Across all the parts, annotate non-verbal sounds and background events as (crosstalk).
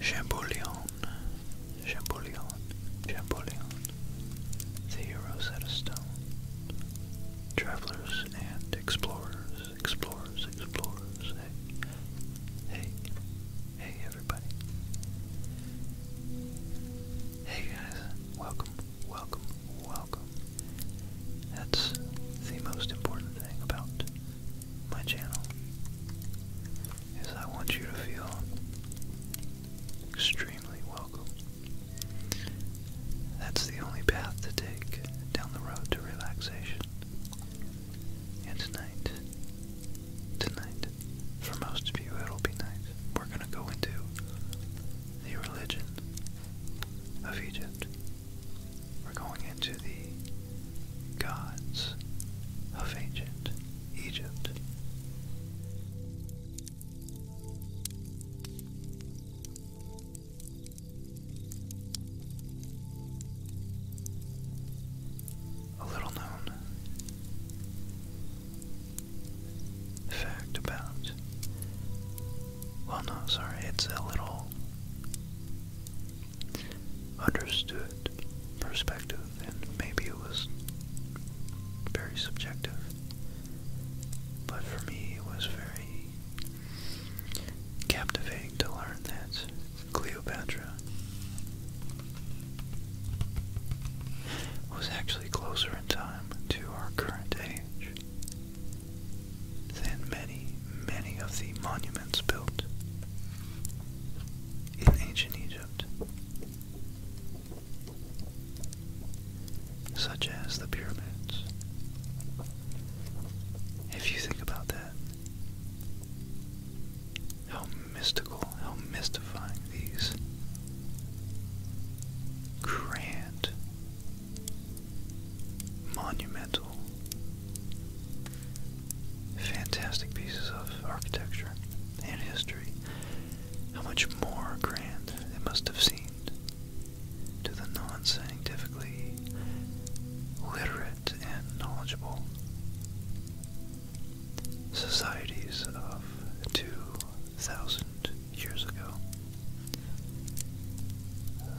Chamboulion, Chamboulion, Chamboulion, the heroes at a stone, travelers and explorers, explorers, explorers, hey, hey, hey everybody, hey guys, welcome, welcome, welcome, that's the most important thing about my channel is I want you to feel extremely welcome. That's the only path to take down the road to relaxation. And tonight, tonight, for most of you it'll be night, we're going to go into the religion of Egypt. We're going into the gods of ancient Egypt. A little known fact about. Well, no, sorry, it's a little understood perspective, and maybe it was very subjective. But for me, it was very captivating to learn that Cleopatra was actually closer in time to our current age than many, many of the monuments built in ancient Egypt, such as the pyramids. If you think about that, how mystical, how mystifying these grand monumental, fantastic pieces of architecture and history, how much more grand it must have seemed to the non scientifically literate and knowledgeable societies of two thousand years ago.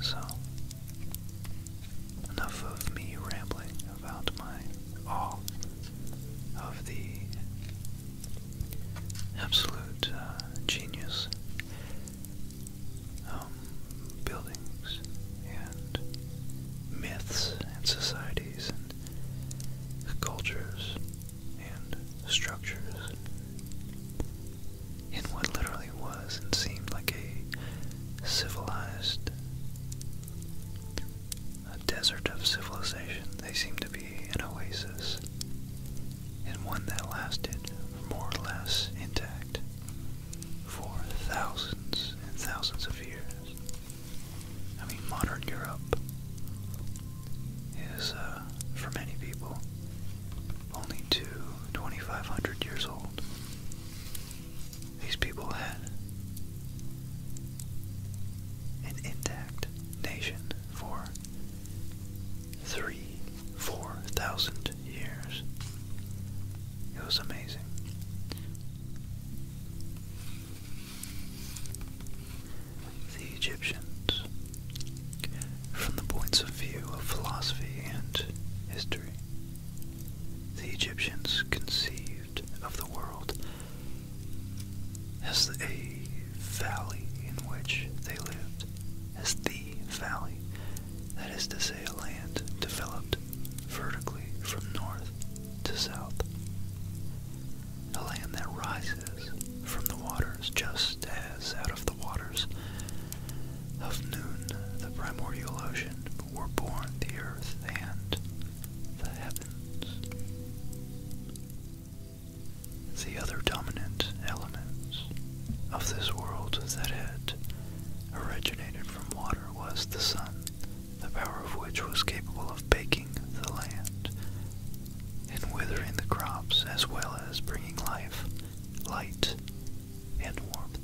So, enough of me rambling about my awe of the absolute uh, genius um, buildings and myths and societies and cultures and structures in what literally was and seemed like a civilized a desert of civilization. They seemed to be an oasis and one that lasted more or less intact for thousands and thousands of years. I mean, modern Europe is, uh, for many people, only to years old. These people had an intact nation for three, four thousand years. It was amazing the Egyptians from the points of view of philosophy and history. The Egyptians conceived of the world as the valley in which they lived, as the valley, that is to say, a land developed vertically from north to south a land that rises from the waters just as out of the waters of noon the primordial ocean were born the earth and the heavens. The other dominant elements of this world that had originated from water was the sun, the power of which was capable of baking the land and withering the crops as well as bringing life, light, and warmth.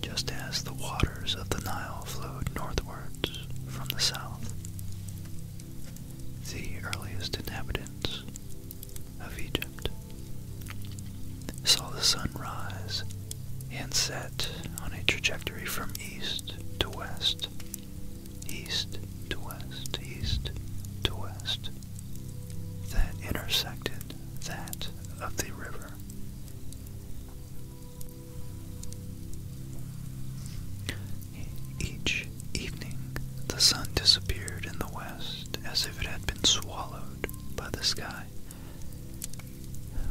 Just as the waters of the Nile flowed northwards from the south, the earliest inhabitants of Egypt saw the sun rise and set on a trajectory from east to west east to west, east to west, that intersected that of the river. Each evening the sun disappeared in the west as if it had been swallowed by the sky.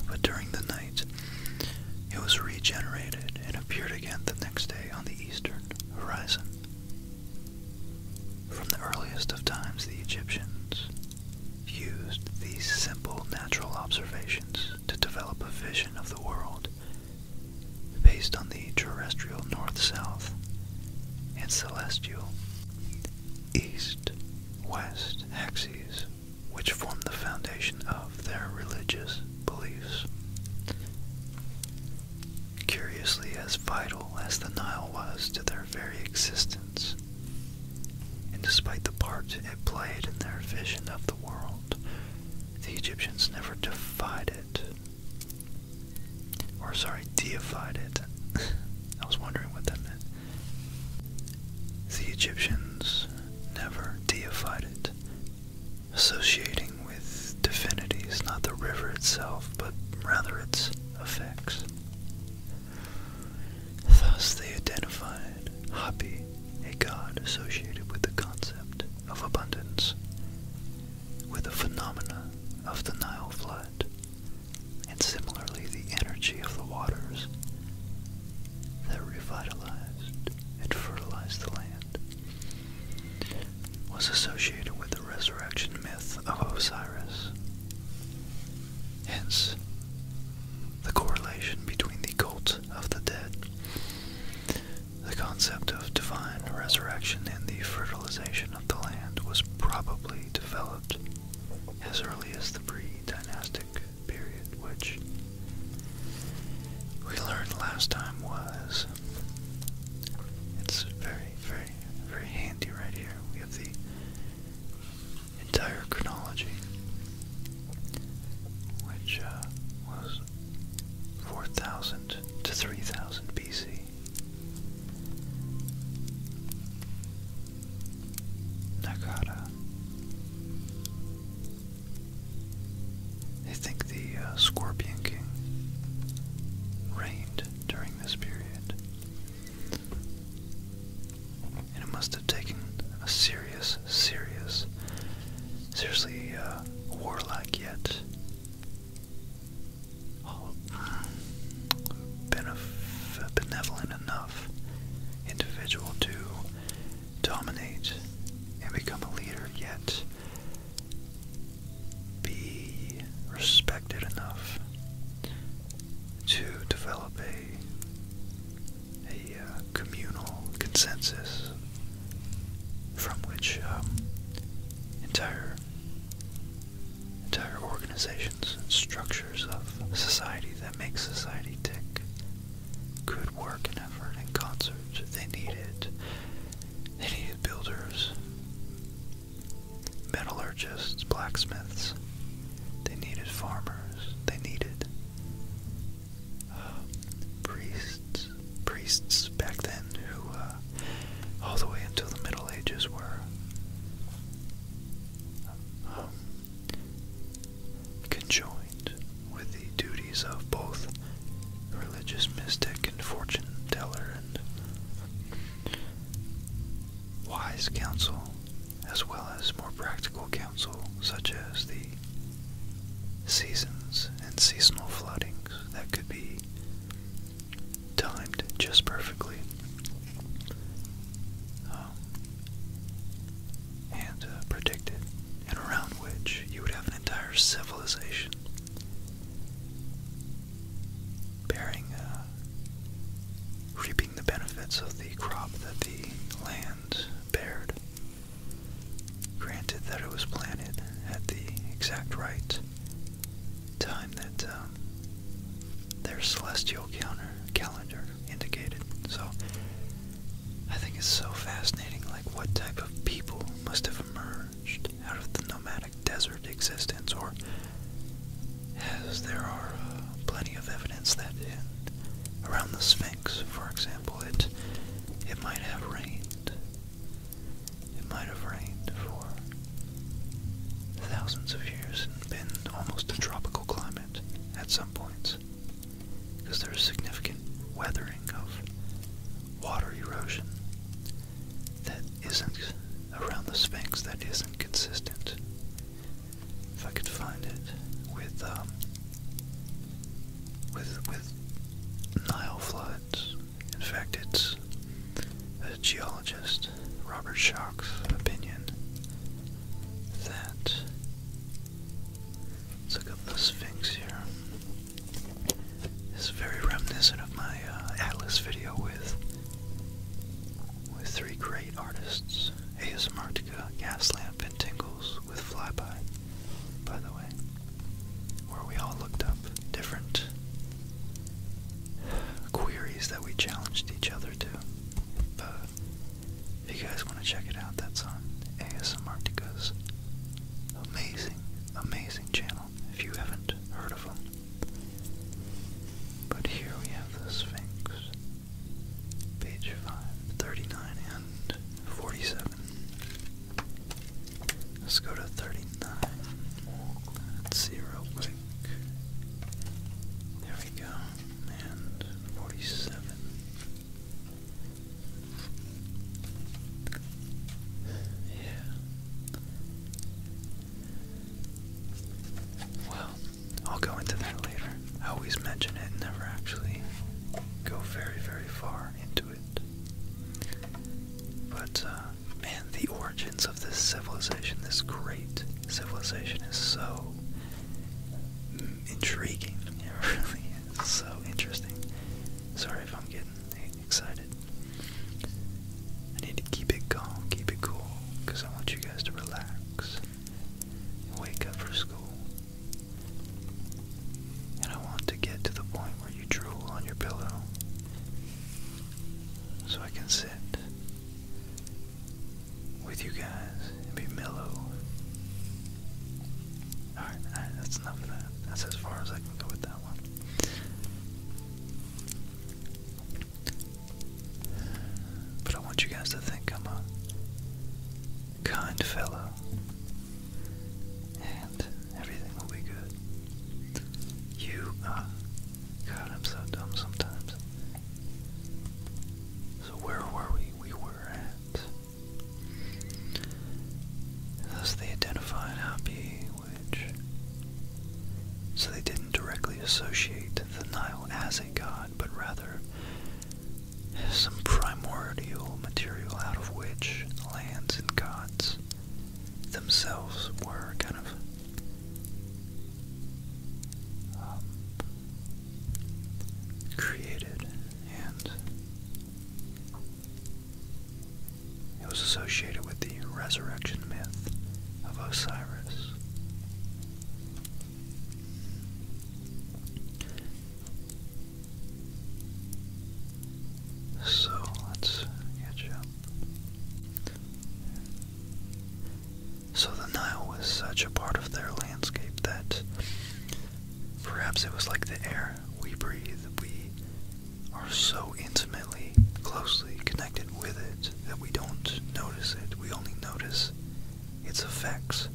But during the night it was regenerated and appeared again the next day on the eastern horizon. From the earliest of times, the Egyptians used these simple natural observations to develop a vision of the world based on the terrestrial north-south and celestial east-west axes, which formed the foundation of their religious beliefs curiously as vital as the Nile was to their very existence. And despite the part it played in their vision of the world, the Egyptians never defied it. Or, sorry, deified it. (laughs) I was wondering what that meant. The Egyptians never deified it, associating with divinities, not the river itself, but rather its effects. Thus, they identified Hapi, a god associated with the concept of abundance, with the phenomena of the Nile flood, and similarly the energy of the waters that revitalized and fertilized the land was associated with the resurrection myth of Osiris. Hence, the correlation between the cult of the dead, the concept of divine resurrection, and the fertilization of the land was probably developed as early as the pre dynastic period, which we learned last time was it's very, very, very handy right here. We have the entire chronology, which uh, was 4000 to 3000 BC. Nagara they think the uh, Scorpion King reigned during this period. And it must have taken a serious, serious, seriously uh, warlike yet benevolent enough individual to dominate and become a leader yet be respected enough to develop a, a uh, communal consensus from which um, entire entire organizations and structures of society that make society tick could work and effort in concert. They need it they needed builders, metallurgists, blacksmiths. They needed farmers. They needed uh, priests. Priests back then who, uh, all the way until the Middle Ages, were um, conjoined with the duties of both religious mystic and fortune teller and wise counsel, as well as more practical counsel, such as the seasons and seasonal floodings that could be timed just perfectly. Um, and uh, predicted, and around which you would have an entire civilization bearing, uh, reaping the benefits of the crop that the land bared. Granted that it was planted at the exact right time that um, their celestial counter calendar indicated. So I think it's so fascinating, like what type of people must have emerged out of the nomadic desert existence, or as there are uh, plenty of evidence that around the Sphinx, for example, it it might have rained. It might have rained for thousands of years and been almost a tropical climate at some points, because there's significant weathering of water erosion that isn't around the Sphinx that isn't consistent. If I could find it with um, with Nile floods. In fact, it's a geologist, Robert Schock's opinion that Let's look up the Sphinx here. It's very reminiscent of my uh, Atlas video with with three great artists, ASMRtica, Gaslamp, and Tingles with Flyby, by the way, where we all looked up different queries that we challenged each other to. if you guys want to check it out, that's on ASMRtica's amazing, amazing channel if you haven't heard of them. But here we have the Sphinx, page 5, and 47. Let's go to 39. Let's see real quick. There we go. And 47. Yeah. Well, I'll go into that later. I always mention it, never actually go very, very far into it. But, uh, man, the origins of this civilization, this great civilization, is so intriguing. (laughs) It really is so interesting. Sorry if I'm getting excited. I need to keep it calm, keep it cool, because I want you guys to relax and wake up for school. And I want to get to the point where you drool on your pillow so I can sit with you guys and be mellow Alright, that's enough of that. That's as far as I can go with that one. But I want you guys to think I'm a kind fellow. And everything will be good. You, uh, God, I'm so dumb sometimes. So where were we? We were at Thus they identified Hapi, which. So they didn't directly associate the Nile as a god, but rather some primordial material out of which lands and gods themselves were kind of. Um, created and it was associated with the resurrection myth of Osiris. So let's catch up. So the Nile was such a part of their landscape that perhaps it was like the air we breathe, we are so intimately, closely connected with it that we don't notice it. We only notice its effects.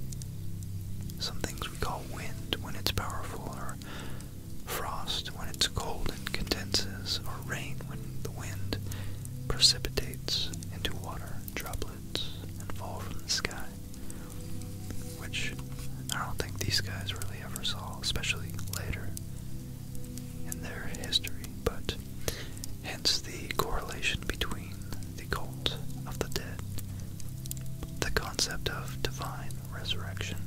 Some things we call wind when it's powerful, or frost when it's cold and condenses, or rain when the wind precipitates into water droplets and fall from the sky which I don't think these guys really ever saw, especially later in their history. But hence the correlation between the cult of the dead, the concept of divine resurrection,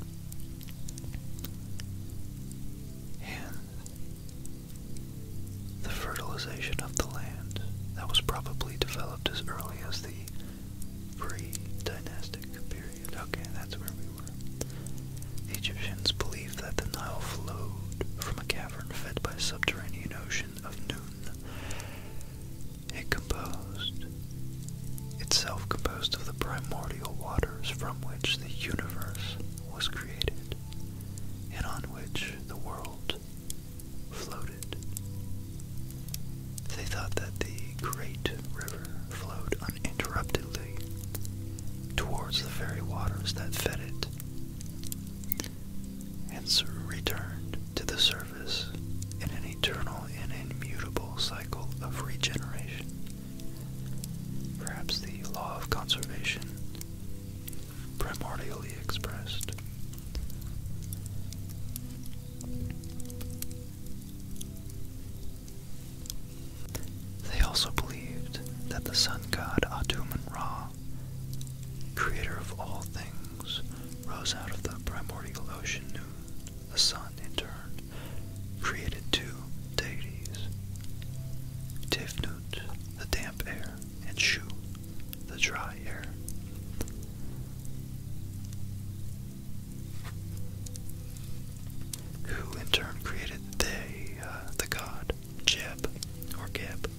and the fertilization of the land that was probably developed as early as the pre-dynastic period. Okay, that's where we were. The Egyptians believed that the Nile flowed from a cavern fed by a subterranean ocean of Nun. It composed itself composed of the primordial waters from which the universe was created and on which the world floated. They thought that the great river flowed uninterruptedly towards the very waters that fed it, hence returned to the surface in an eternal and immutable cycle of regeneration. Perhaps the law of conservation, primordially expressed. They also believed that the sun god Atum and Ra, creator of all things, rose out of the primordial ocean Noon. The sun, in turn, created two deities, Tifnut, the damp air, and Shu, the dry air who in turn created they, uh, the god Jeb, or Geb,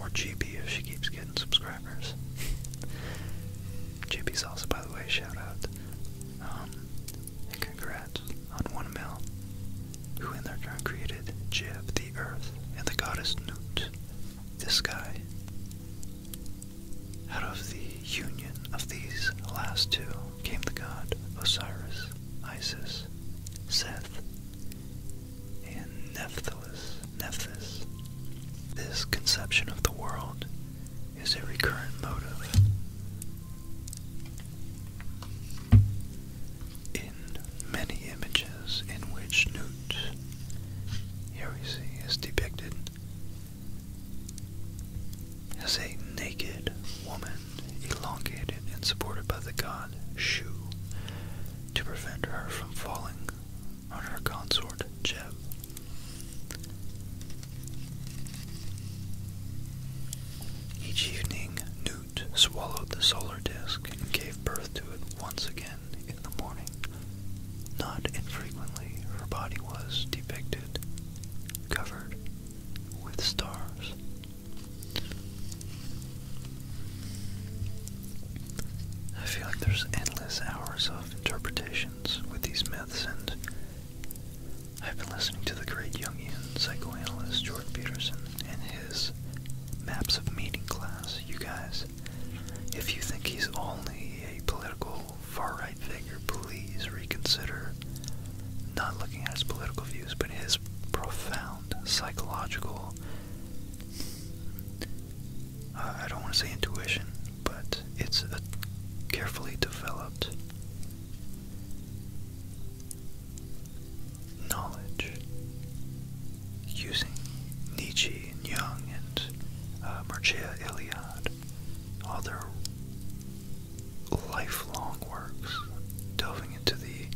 or GB if she keeps getting subscribers. GB (laughs) Salsa, by the way, shout out. Um, and congrats on 1 mil, who in their turn created Jeb, the earth, and the goddess Noot this guy out of the union of these last two came the god Osiris, Isis, Seth, and Nephthys. Nephthys. This conception of the world is a recurrent motive in many images in which Newt, here we see, is depicted as a naked woman, elongated and supported by the god Shu, to prevent her from falling on her consort Jeb. Each evening, Newt swallowed the solar disk and gave birth to it once again in the morning. Not infrequently, her body was depicted covered with stars. I feel like there's endless hours of interpretations with these myths, and I've been listening to the great Jungian psychoanalyst Jordan Peterson and his Maps of meeting class. You guys if you think he's only a political far right figure, please reconsider not looking at his political views, but his profound psychological. Uh, I don't want to say intuition, but it's a carefully developed knowledge using Nietzsche Young and uh, Mircea all their lifelong works, delving into the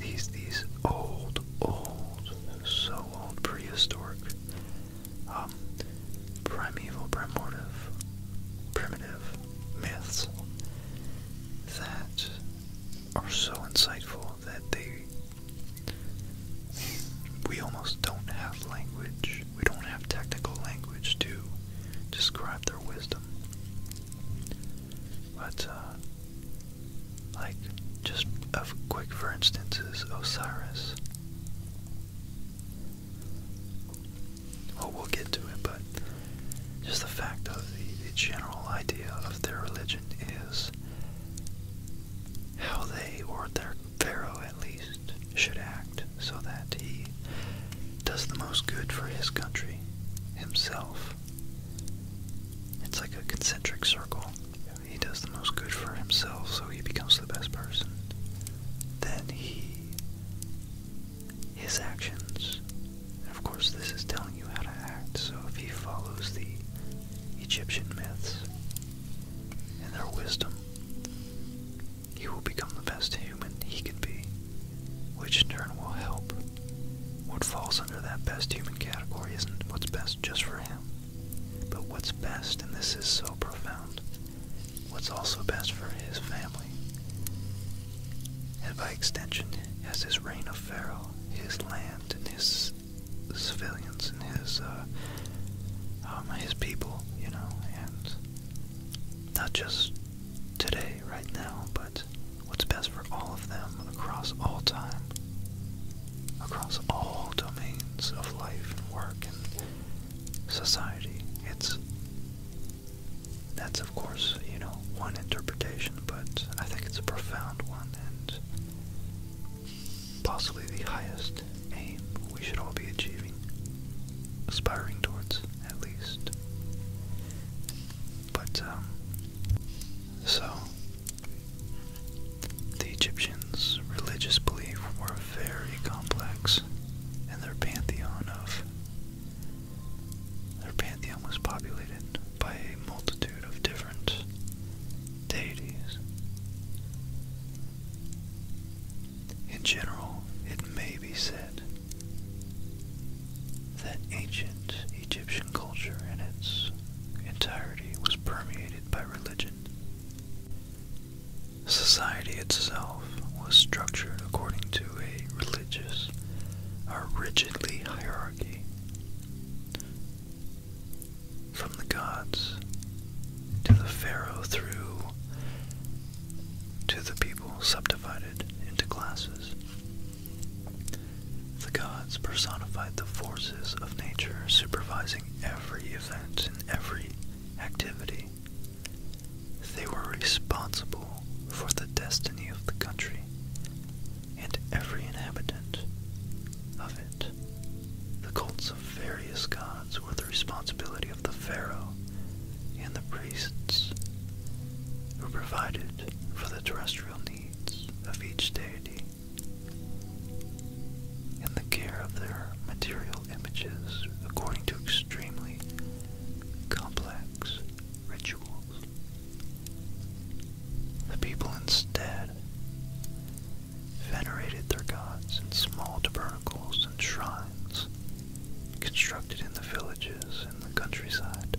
these these old, old, so old, prehistoric, um, primeval, primitive, primitive myths that are so insightful that they we almost don't have language. We don't have technical language to describe their wisdom. But, uh, like, just a quick for instance is Osiris. Well, we'll get to it, but just the fact of the general idea of their religion is how they or their Pharaoh at least should act so that he does the most good for his country himself. It's like a concentric circle. He does the most good for himself, so he becomes the best person. Then he, his actions, and of course, this is telling you how to act. So if he follows the Egyptian myths, and their wisdom, he will become the best human he can be, which in turn will help. What falls under that best human category isn't what's best just for him, but what's best, and this is so profound, what's also best for his family. And by extension, as his reign of Pharaoh, his land, and his civilians and his uh, um, his people, you know, and not just today, right now, but what's best for all of them across all time, across all domains of life and work and society. It's that's of course, you know, one interpretation, but I think it's a profound one and possibly the highest aim we should all be achieving, aspiring towards at least. But, um, so, the Egyptians' religious beliefs were very complex, and their pantheon of their pantheon was populated by a multitude of different different In general, it may be said that ancient Egyptian culture in its entirety was permeated by religion. Society itself was structured according to a religious a rigidly hierarchy from the gods to the pharaoh through to the people subdivided into classes. The gods personified the forces of nature supervising every event and every activity. They were responsible for the destiny of the country and every inhabitant of it. The cults various gods were the responsibility of the pharaoh and the priests, who provided for the terrestrial needs of each deity. and the care of their material images according to extremely complex rituals. The people instead venerated their gods in small tabernacles and shrines constructed in the villages and the countryside.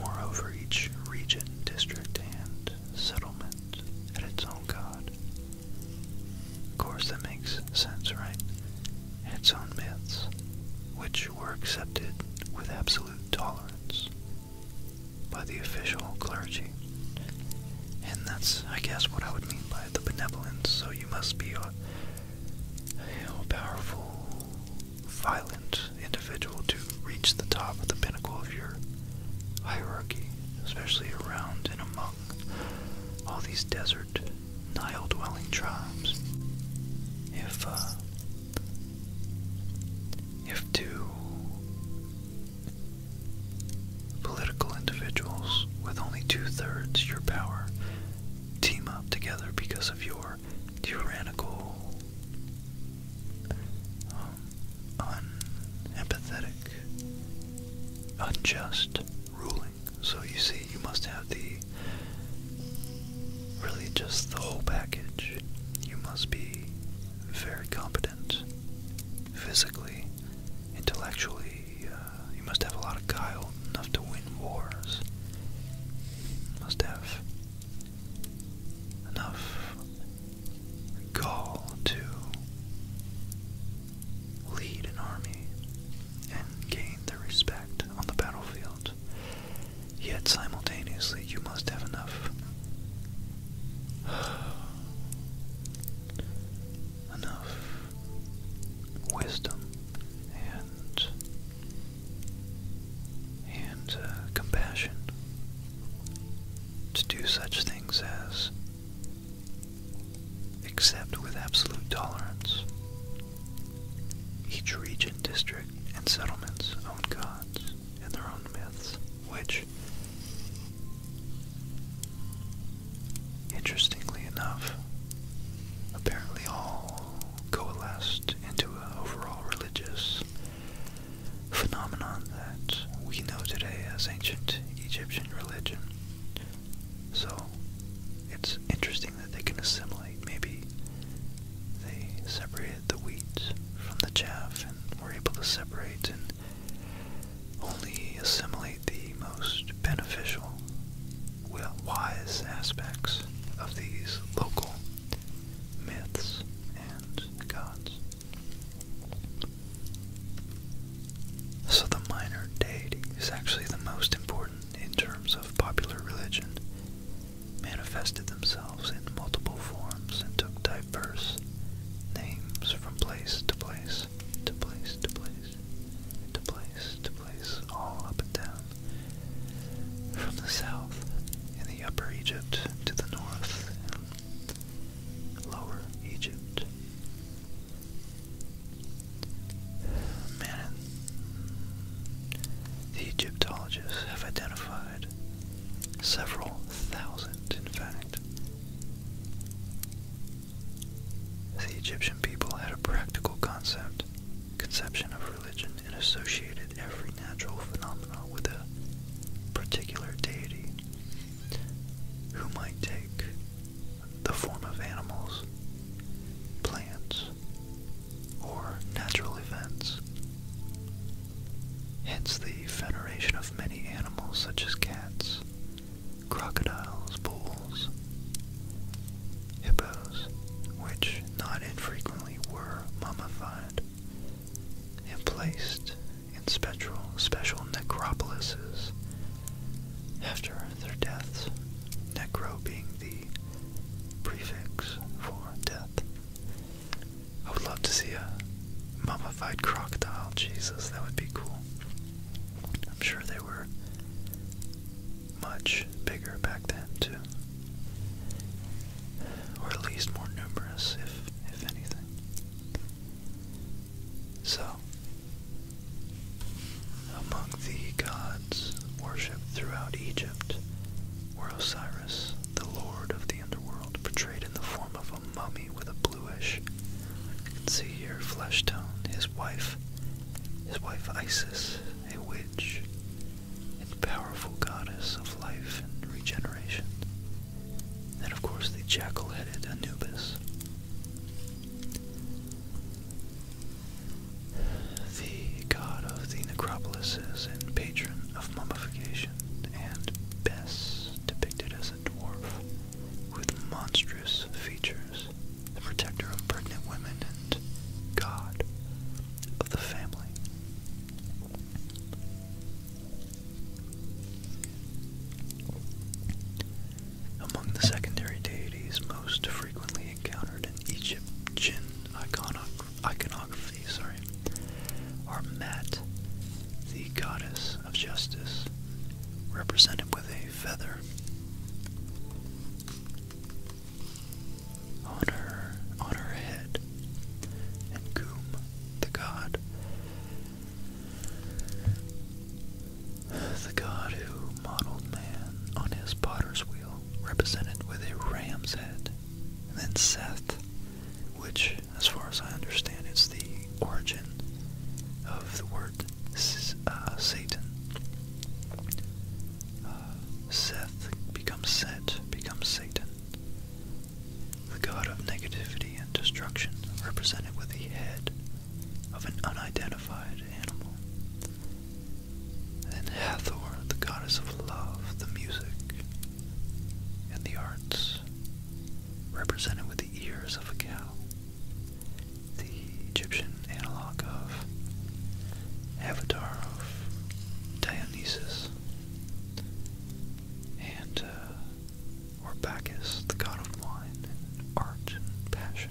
Moreover, each region, district, and settlement had its own god. Of course, that makes sense, right? Its own myths, which were accepted with absolute tolerance by the official clergy. And that's, I guess, what I would mean by the benevolence. So you must be a, powerful, violent individual to reach the top of the pinnacle of your hierarchy, especially around and among all these desert Nile dwelling tribes. If, uh, if to Political individuals with only two thirds your power team up together because of your tyrannical, um, unempathetic, unjust ruling. So you see, you must have the really just the whole package. You must be very competent physically, intellectually. Uh, you must have a lot of guile, enough to win wars. You must have enough gall to lead an army and gain their respect on the battlefield. Yet simultaneously, you must have enough (sighs) enough wisdom and and uh, compassion to do such things as accept with absolute tolerance each region, district, and settlement's own gods and their own myths, which Interestingly enough, apparently all coalesced into an overall religious phenomenon that we know today as ancient Egyptian religion. So it's interesting that they can assimilate. Maybe they separated the wheat from the chaff and were able to separate and only assimilate the most beneficial, wise aspects of these local myths and gods. So the minor deity is actually the most important in terms of popular religion manifested themselves in multiple forms and took diverse names from place to place, to place to place, to place to place, all up and down. From the south in the upper Egypt to the north in lower Egypt. Man, the Egyptologists have identified Several thousand, in fact. The Egyptian people had a practical concept, conception of religion, and associated every natural phenomenon with a particular deity who might take the form of animals, plants, or natural events hence the veneration of many animals such as cats, crocodiles, bulls, hippos, which not infrequently were mummified and placed in special necropolises after their deaths, necro being the prefix for death. I would love to see a mummified crocodile. Jesus, that would be cool. I'm sure they were much bigger back then, too. Or at least more numerous, if, if anything. So, among the gods worshipped throughout Egypt were Osiris the lord of the underworld, portrayed in the form of a mummy with a bluish, you can see here, flesh tone, his wife, his wife Isis, a witch, and powerful goddess of life and regeneration. And of course, the jackal headed Anubis. The god of the necropolis and patron of mummification and Bess depicted as a dwarf with monstrous features, the protector of pregnant women and god of the family. Among the secondary deities most frequently encountered in Egyptian iconography sorry, are Met, the goddess of justice, represented with a feather on her on her head, and Goom, the god, the god who modeled man on his potter's wheel, represented with a ram's head, and then Seth, which as far as I understand, it's the origin of the word uh, Satan. Uh, Seth becomes Set, becomes Satan. The god of negativity and destruction, represented with the head of an unidentified animal. And Hathor, the goddess of love, the music, and the arts, represented with the ears of a cow, the Egyptian analog of Avatar of Dionysus, and uh, or Bacchus, the god of wine and art and passion,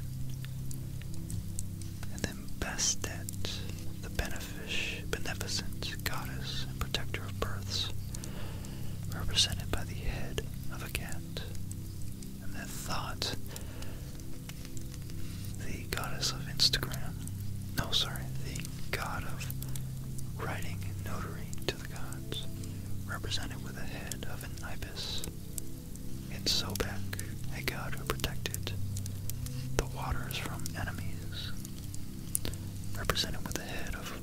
and then Bastet, the beneficent goddess and protector of births represented by the head of a cat. And that thought, the goddess of Instagram, no, sorry, the god of writing and notary to the gods, represented with the head of an ibis. And Sobek, a god who protected the waters from enemies represented with the head of,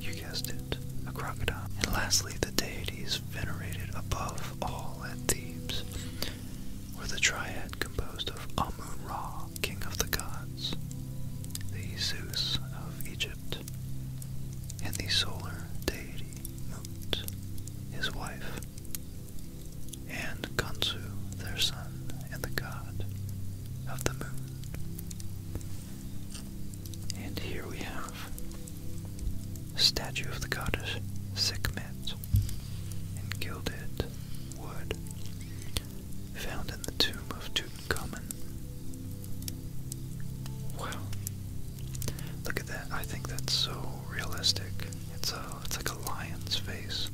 you guessed it, a crocodile. And lastly, the deities venerated above all at Thebes were the triad composed of Amun Ra, king of the gods, the Zeus of Egypt, and the solar deity Mut, his wife, and Kansu, their son and the god of the moon. And here we have statue of the goddess Sekhmet in gilded wood found in the tomb of Tutankhamun. Wow. Look at that. I think that's so realistic. It's a it's like a lion's face.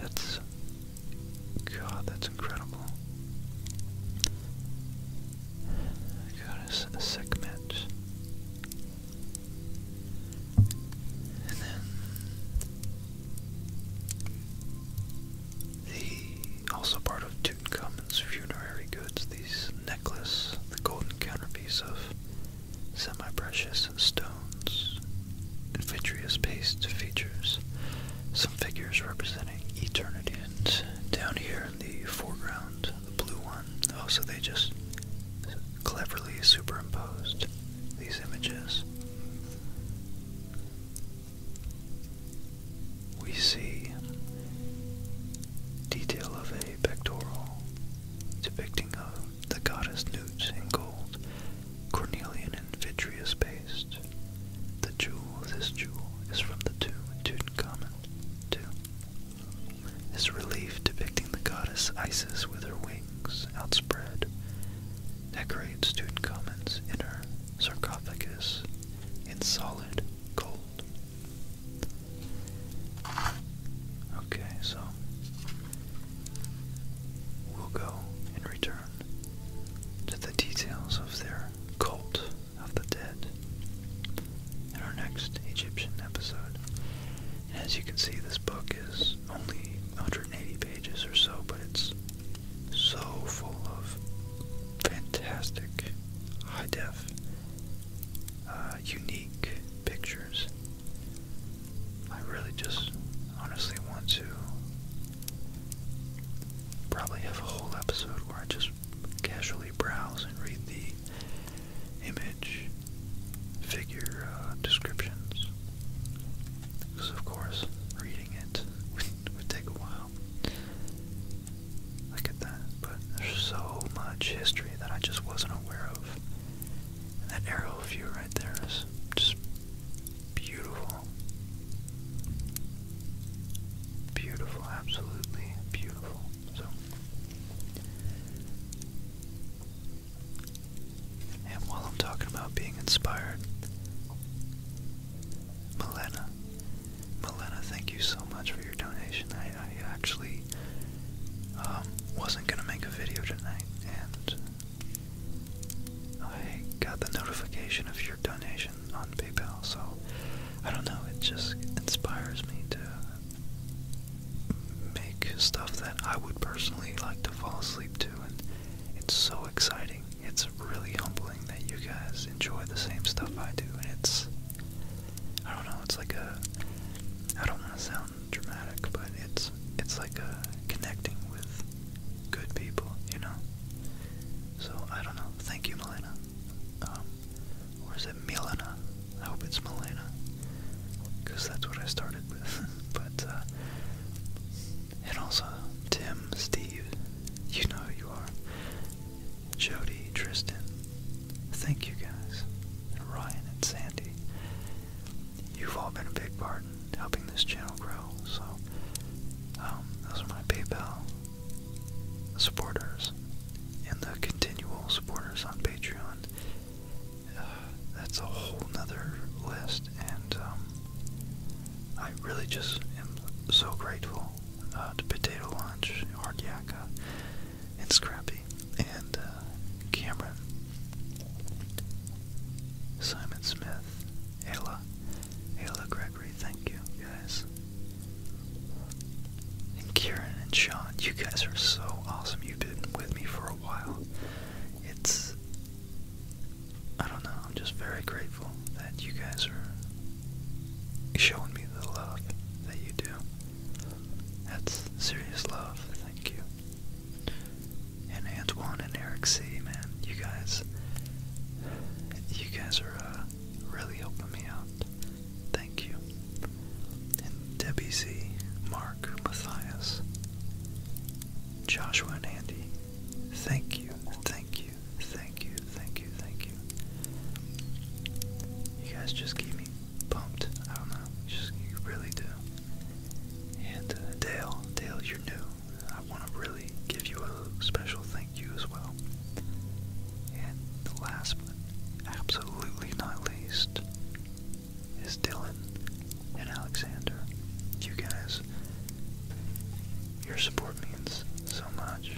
That's God, that's incredible. God, a sick match. And then the also part of Tutankhamun's funerary goods, these necklace, the golden counterpiece of semi-precious stone stones, and vitreous-based features, some figures representing eternity. And down here in the foreground, the blue one, oh, so they just cleverly superimposed these images. We see detail of a pectoral depicting the goddess Newt in gold, cornelian and vitreous paste. Christ. The jewel, this jewel, is from the tomb in Tutankhamun tomb. This relief depicting the goddess Isis with her wings outspread decorates Tutankhamun's inner sarcophagus in solid gold. Okay, so we'll go and return to the details of their cult of the dead in our next Egyptian episode. And as you can see, this book is only 180 pages or so, but it's so full of fantastic, high def, uh, unique pictures. I really just honestly want to probably have a whole episode where I just casually browse and read the image figure uh, descriptions. Because, of course, reading it (laughs) would, take a while. Look at that. But there's so much history that I just wasn't aware of. that arrow view right there is just Beautiful. Beautiful, absolutely beautiful. So and while I'm talking about being inspired, Milena, Milena, thank you so much for your donation. I, I actually um, wasn't gonna make a video tonight, and I got the notification of your donation on PayPal, so I don't know, it just inspires me to make stuff that I would personally like to fall asleep to, and it's so exciting. It's really humbling that you guys enjoy the same stuff I do, and it's, I don't know, it's like a, I don't want to sound dramatic, but it's, it's like a connecting with good people, you know? So, I don't know. Thank you, Melina, Um, or is it Milena? I hope it's Melina, Because that's what I started with. (laughs) but, uh, and also, Tim, Steve, you know who you are. Jody, Tristan, thank you guys. And Ryan and Sandy you've all been a big part in helping this channel grow. So, um, those are my PayPal supporters and the continual supporters on Patreon. Uh, that's a whole nother list, and um, I really just am so grateful uh, to Potato Launch, Hard and Scrappy, and uh, Cameron, Simon Smith, Ayla, Ayla Gregory, thank you guys. And Kieran and Sean, you guys are so awesome. You've been with me for a while. It's, I don't know, I'm just very grateful that you guys are showing me the love that you do. That's serious love, thank you. And Antoine and Eric C, man, you guys, you guys are uh, really helping me out. Thank you. And Debbie C, Mark, Matthias, Joshua and Andy, thank you, thank you, thank you, thank you, thank you. You guys just keep me pumped. I don't know, you just you really do. And uh, Dale, Dale, you're new. I want to really give you a special thank you as well. And the last but absolutely not least is Dylan and Alexander. You guys, your support means so much,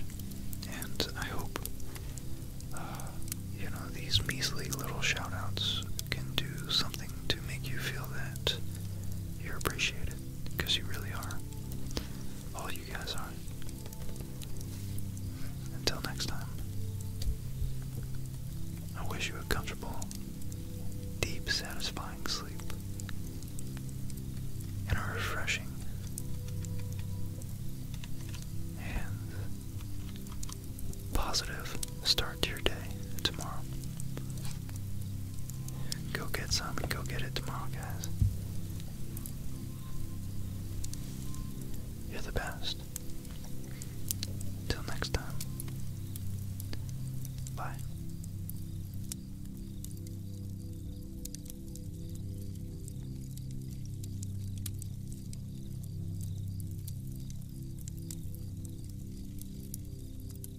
and I hope uh, you know these measly little shoutouts can do something to make you feel that you're appreciated, because you really are. All you guys are. Until next time, I wish you a comfortable, deep, satisfying sleep and a refreshing and positive start your day tomorrow. Go get some and go get it tomorrow, guys. You're the best. Till next time. Bye.